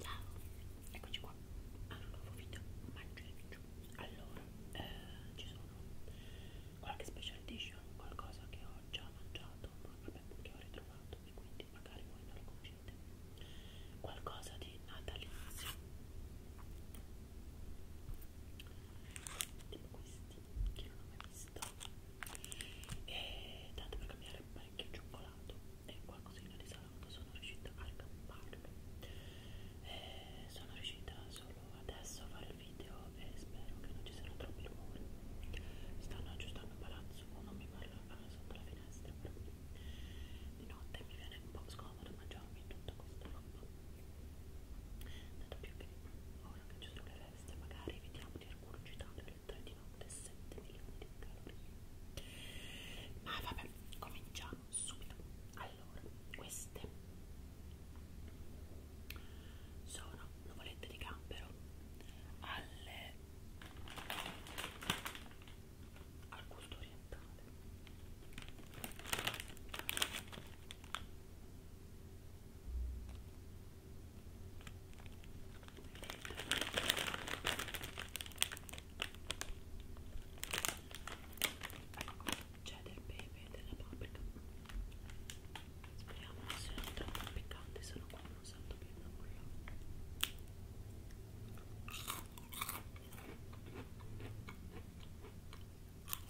Ciao, eccoci qua a ah, un nuovo video maggioriccio. Allora, eh, ci sono qualche special edition, qualcosa che ho già mangiato, ma vabbè, che ho ritrovato e quindi magari voi non lo conoscete. Qualcosa di natalizio tipo questi che non ho mai visto e tanto per cambiare parecchio cioccolato e qualcosina di salato sono riuscita a camparlo e eh, sono riuscita solo adesso a fare il video e spero che non ci saranno troppi rumori mi stanno aggiustando il palazzo uno mi parla eh, sotto la finestra però di notte mi viene un po' scomodo comodo mangiarmi tutta questa roba tanto più che ora che ci sono le feste magari evitiamo di recurgitare le 3 di notte 7 milioni di calorie ma vabbè cominciamo subito allora queste sono nuvolette di gambero alle al gusto orientale c'è del pepe e della paprika speriamo non sia troppo piccante se no qua non sento più nulla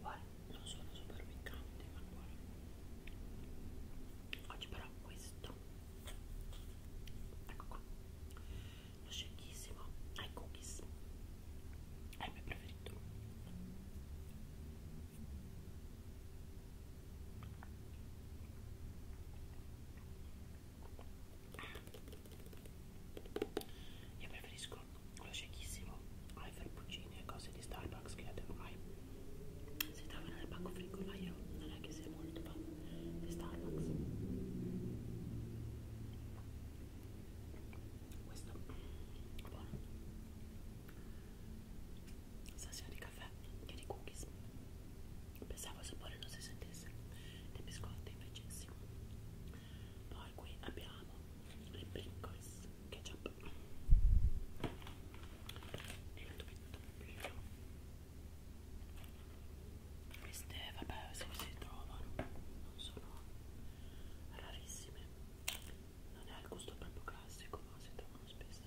Buone, non sono super piccanti, ma buone. Oggi però questo, ecco qua, lo scegliissimo ai cookies, è il mio preferito. Io preferisco lo shakissimo ai frappuccini e cose di Starbucks che ormai si trovano nel pacco frigo, ma io non è che sia molto fan di Starbucks. Questo è buono stasera di caffè e di cookies pensavo il sapore non si sentisse dei biscotti invece sì poi qui abbiamo le Pringles ketchup e il doppio queste vabbè se si trovano non sono rarissime non è al gusto proprio classico ma si trovano spesso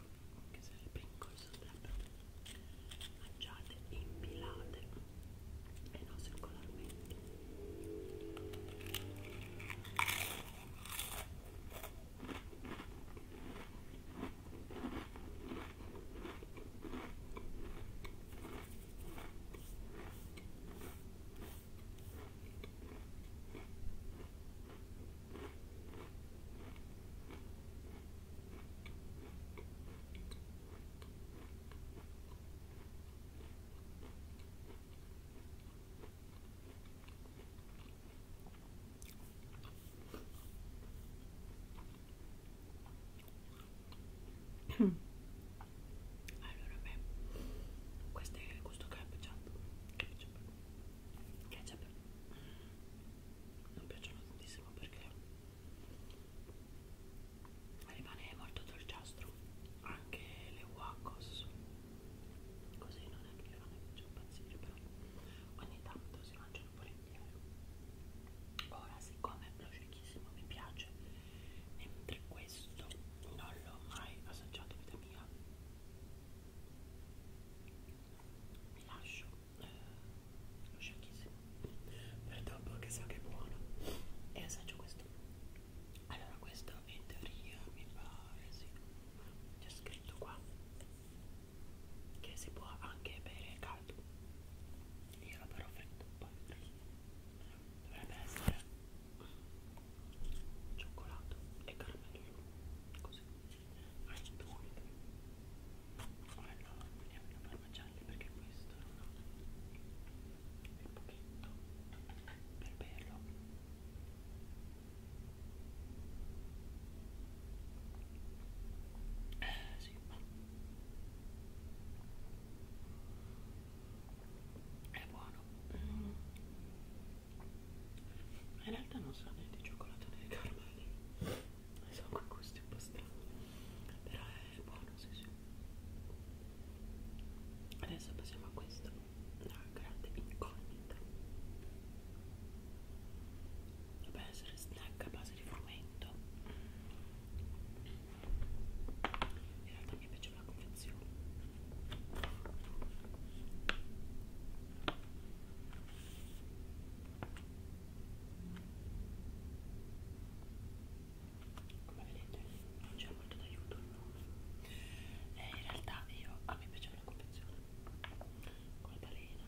ecco, che sarebbe in corso sarebbero mangiate impilate e non circolarmente allora beh, questo è il gusto ketchup, ketchup, ketchup non piacciono tantissimo perché rimane molto dolciastro anche le Wacos così non è che mi fanno più impazzire però ogni tanto si mangiano volentieri ora siccome lo cecchissimo mi piace mentre questo non l'ho mai assaggiato vita mia mi lascio lo sciocchissimo. Per dopo che so che è buono. E assaggio questo. Allora questo in teoria mi pare, eh, sì. C'è scritto qua che si può anche bere caldo. Io lo però freddo poi. Dovrebbe essere cioccolato e caramello. Così allora vediamo la parmigiana perché questo non ho il pochetto per berlo eh sì è buono mm. in realtà non sa né di cioccolato né di caramello sono con gusti un po' strani però è buono sì sì adesso passiamo a questo la grande incognita dovrebbe essere snack a base di frumento in realtà mi piaceva la confezione come vedete non c'è molto d'aiuto il nome eh, in realtà io a me piaceva la confezione con la balena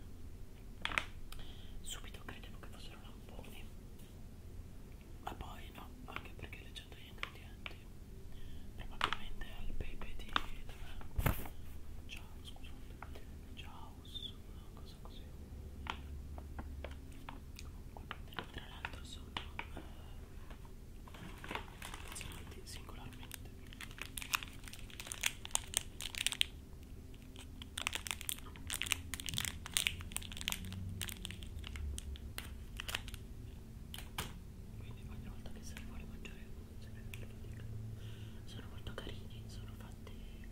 subito credevo che fossero lamponi ma poi no anche perché leggendo gli ingredienti probabilmente al pepe di dov'è? ciao scusate ciao sono cosa così comunque tra l'altro sono posizionati eh, singolarmente quindi ogni volta che si vuole mangiare non se ne dico sono molto carini sono fatti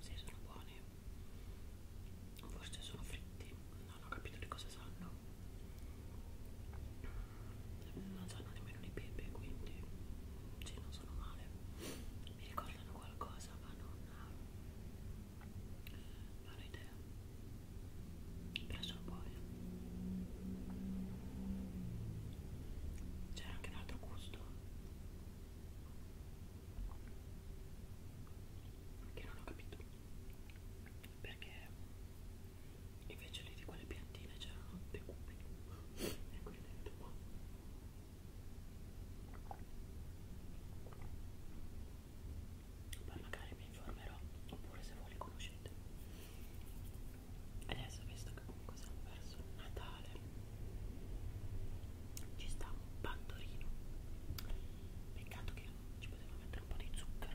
Sì, sono buoni. Forse sono fritti. Non ho capito di cosa sanno. Non sanno nemmeno di pepe, quindi sì, non sono male. Mi ricordano qualcosa, ma non, non ho idea. Però sono buoni. C'è anche un altro gusto che non ho capito perché invece lì di quelle piantine c'erano dei cubi e quindi ho detto boh poi magari mi informerò oppure se voi li conoscete adesso visto che comunque siamo verso il Natale ci sta un pandorino peccato che ci potevo mettere un po' di zucchero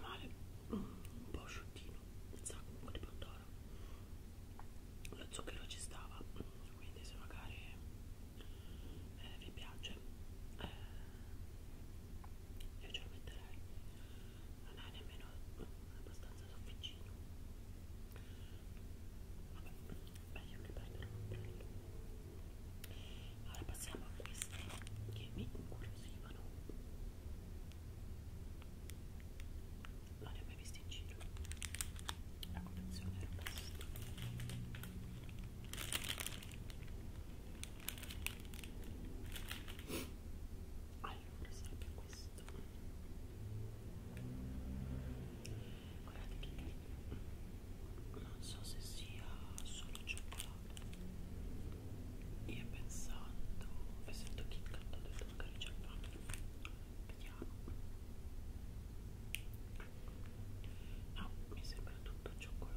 male un po' asciuttino sa comunque di pandora lo zucchero ci stava quindi se magari eh, vi piace eh, io ce lo metterei non è nemmeno abbastanza sofficino vabbè meglio che prendere un ombrello allora passiamo a queste che mi incuriosivano non li ho mai visti in giro la collezione era questa allora sarebbe questo guardate che non so se sia solo cioccolato io pensando essendo che ho detto magari c'è vediamo no mi sembra tutto cioccolato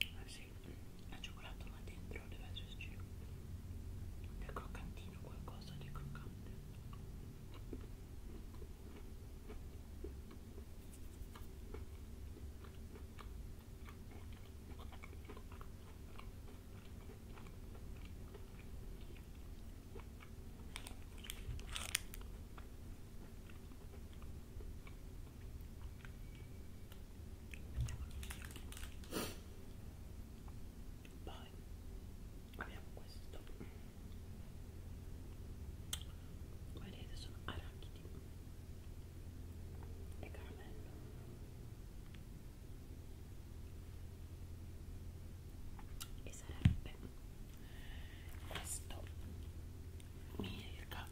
eh sì, è cioccolato ma dentro deve esserci del croccantino, qualcosa di croccante poi abbiamo questo come vedete sono arachidi e caramello e sarebbe questo circa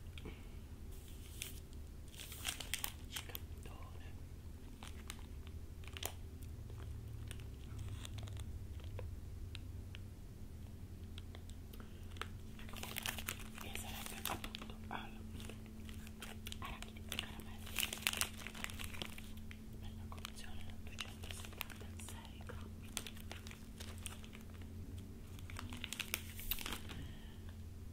scattone e sarebbe appunto al arachidi e caramelli bella collezione da 276 grammi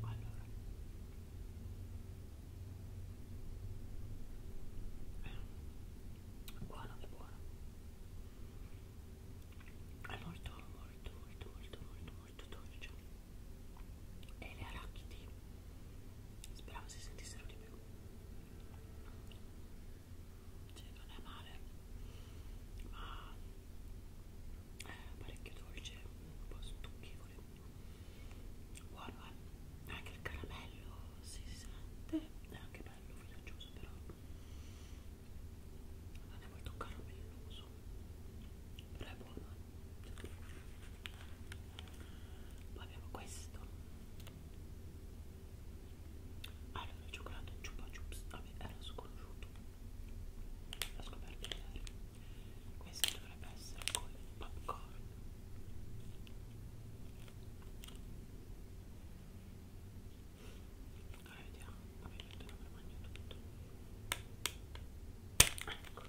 Allora. Eh. Buono che buono. È molto molto molto molto molto molto dolce. E le arachidi Speravo si sentissero di più. Cioè, non è male, ma è eh, parecchio dolce, un po' stucchevole. Buono, eh? Anche il caramello si sente, è anche bello filaggioso, però non è molto caramelloso. Però è buono, eh poi abbiamo questo allora ah, il cioccolato chupa chups vabbè era sconosciuto l'ho scoperto ieri questo dovrebbe essere con il popcorn allora vediamo vabbè metterò per mangiare tutto ecco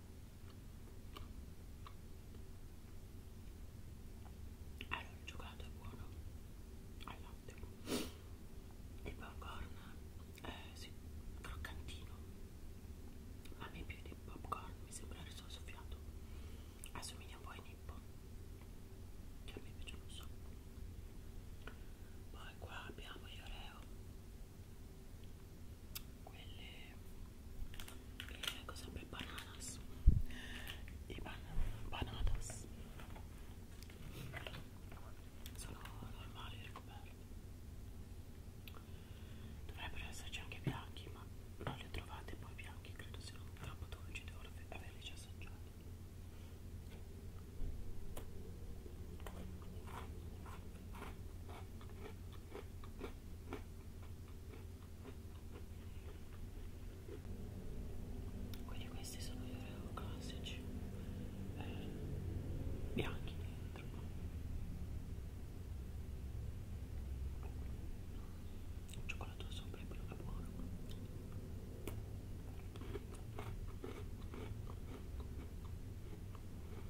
Allora, il cioccolato è buono al latte, il popcorn eh, sì, croccantino, ma a me più di popcorn mi sembra riso soffiato, assomiglia un po' ai nippo, che a me invece non so. Poi qua abbiamo gli oreo quelle eh, cosa per bananas i ban bananas sono normali ricoperti dovrebbero esserci anche bianchi ma non li ho trovate poi bianchi credo siano troppo dolci devo averli già assaggiati quindi questi sono gli oreo classici eh, bianchi dentro il cioccolato sopra è quello che è buono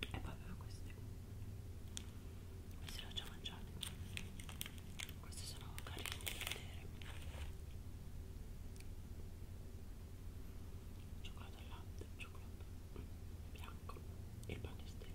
e poi avevo queste queste le ho già mangiate queste sono carine di vedere cioccolato al latte cioccolato bianco e pane stelle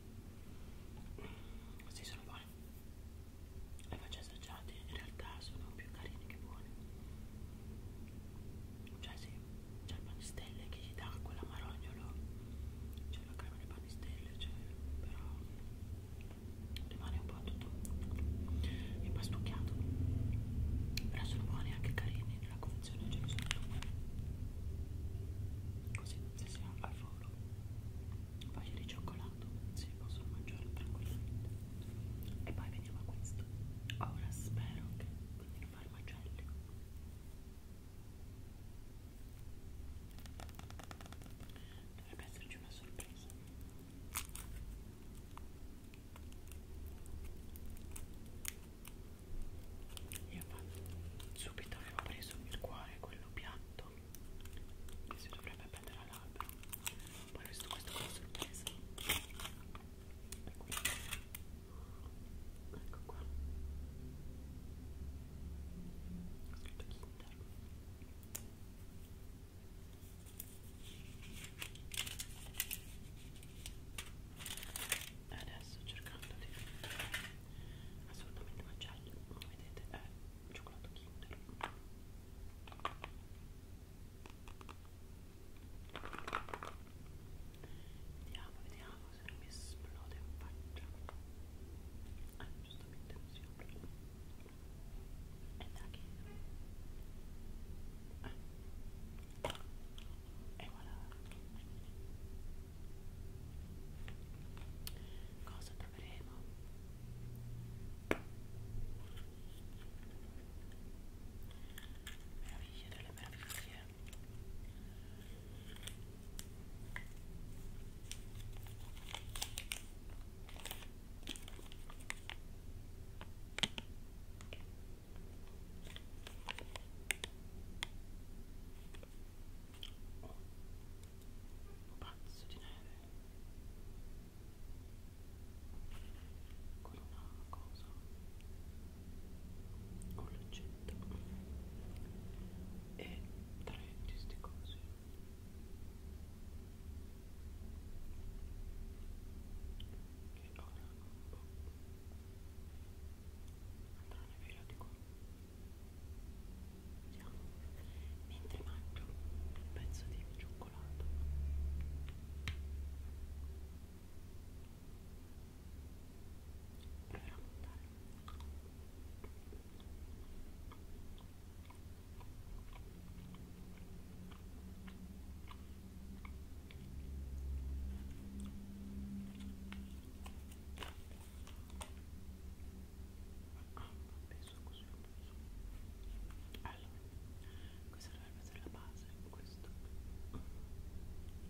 Sì, sono buone. Le faccio assaggiate, in realtà sono più carine che buone. Cioè sì, c'è il panistelle che gli dà quella marognolo, c'è la crema di panistelle, cioè, però rimane un po' tutto impastucchiato. Però sono buone anche carine nella confezione, ce ne sono due. Così, se si ha al forno farlo foglie di cioccolato si possono mangiare tranquillamente e poi veniamo a questo ora spero che continuino a fare macelli dovrebbe esserci una sorpresa io subito avevo preso il cuore quello bianco gatto che si dovrebbe prendere all'albero poi ho visto questo qua sorpresa ecco qua ho scritto Kinder adesso cercando di assolutamente macello come vedete è cioccolato kinder vediamo vediamo se non mi esplode in faccia ah giustamente non si apre è da che ah. e voilà cosa proveremo? meraviglie delle meraviglie Oh un pazzo di neve con una cosa un luccetto e tre di ste cose che ora un po' oh. andranno via di qua Vediamo. Mentre mangio un pezzo di cioccolato. Proverò a montare. Ecco ah vabbè succo succo succo allora questa dovrebbe essere la base questo poi questo questo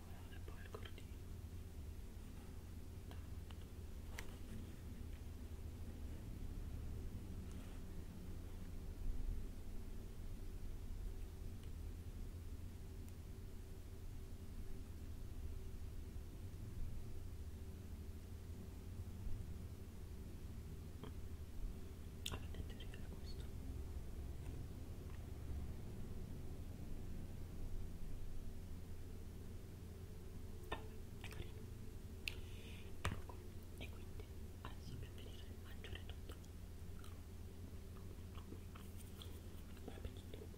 e uno e poi il cordino vedete era questo è carino ecco e quindi adesso abbiamo finito di mangiare tutto buon appetito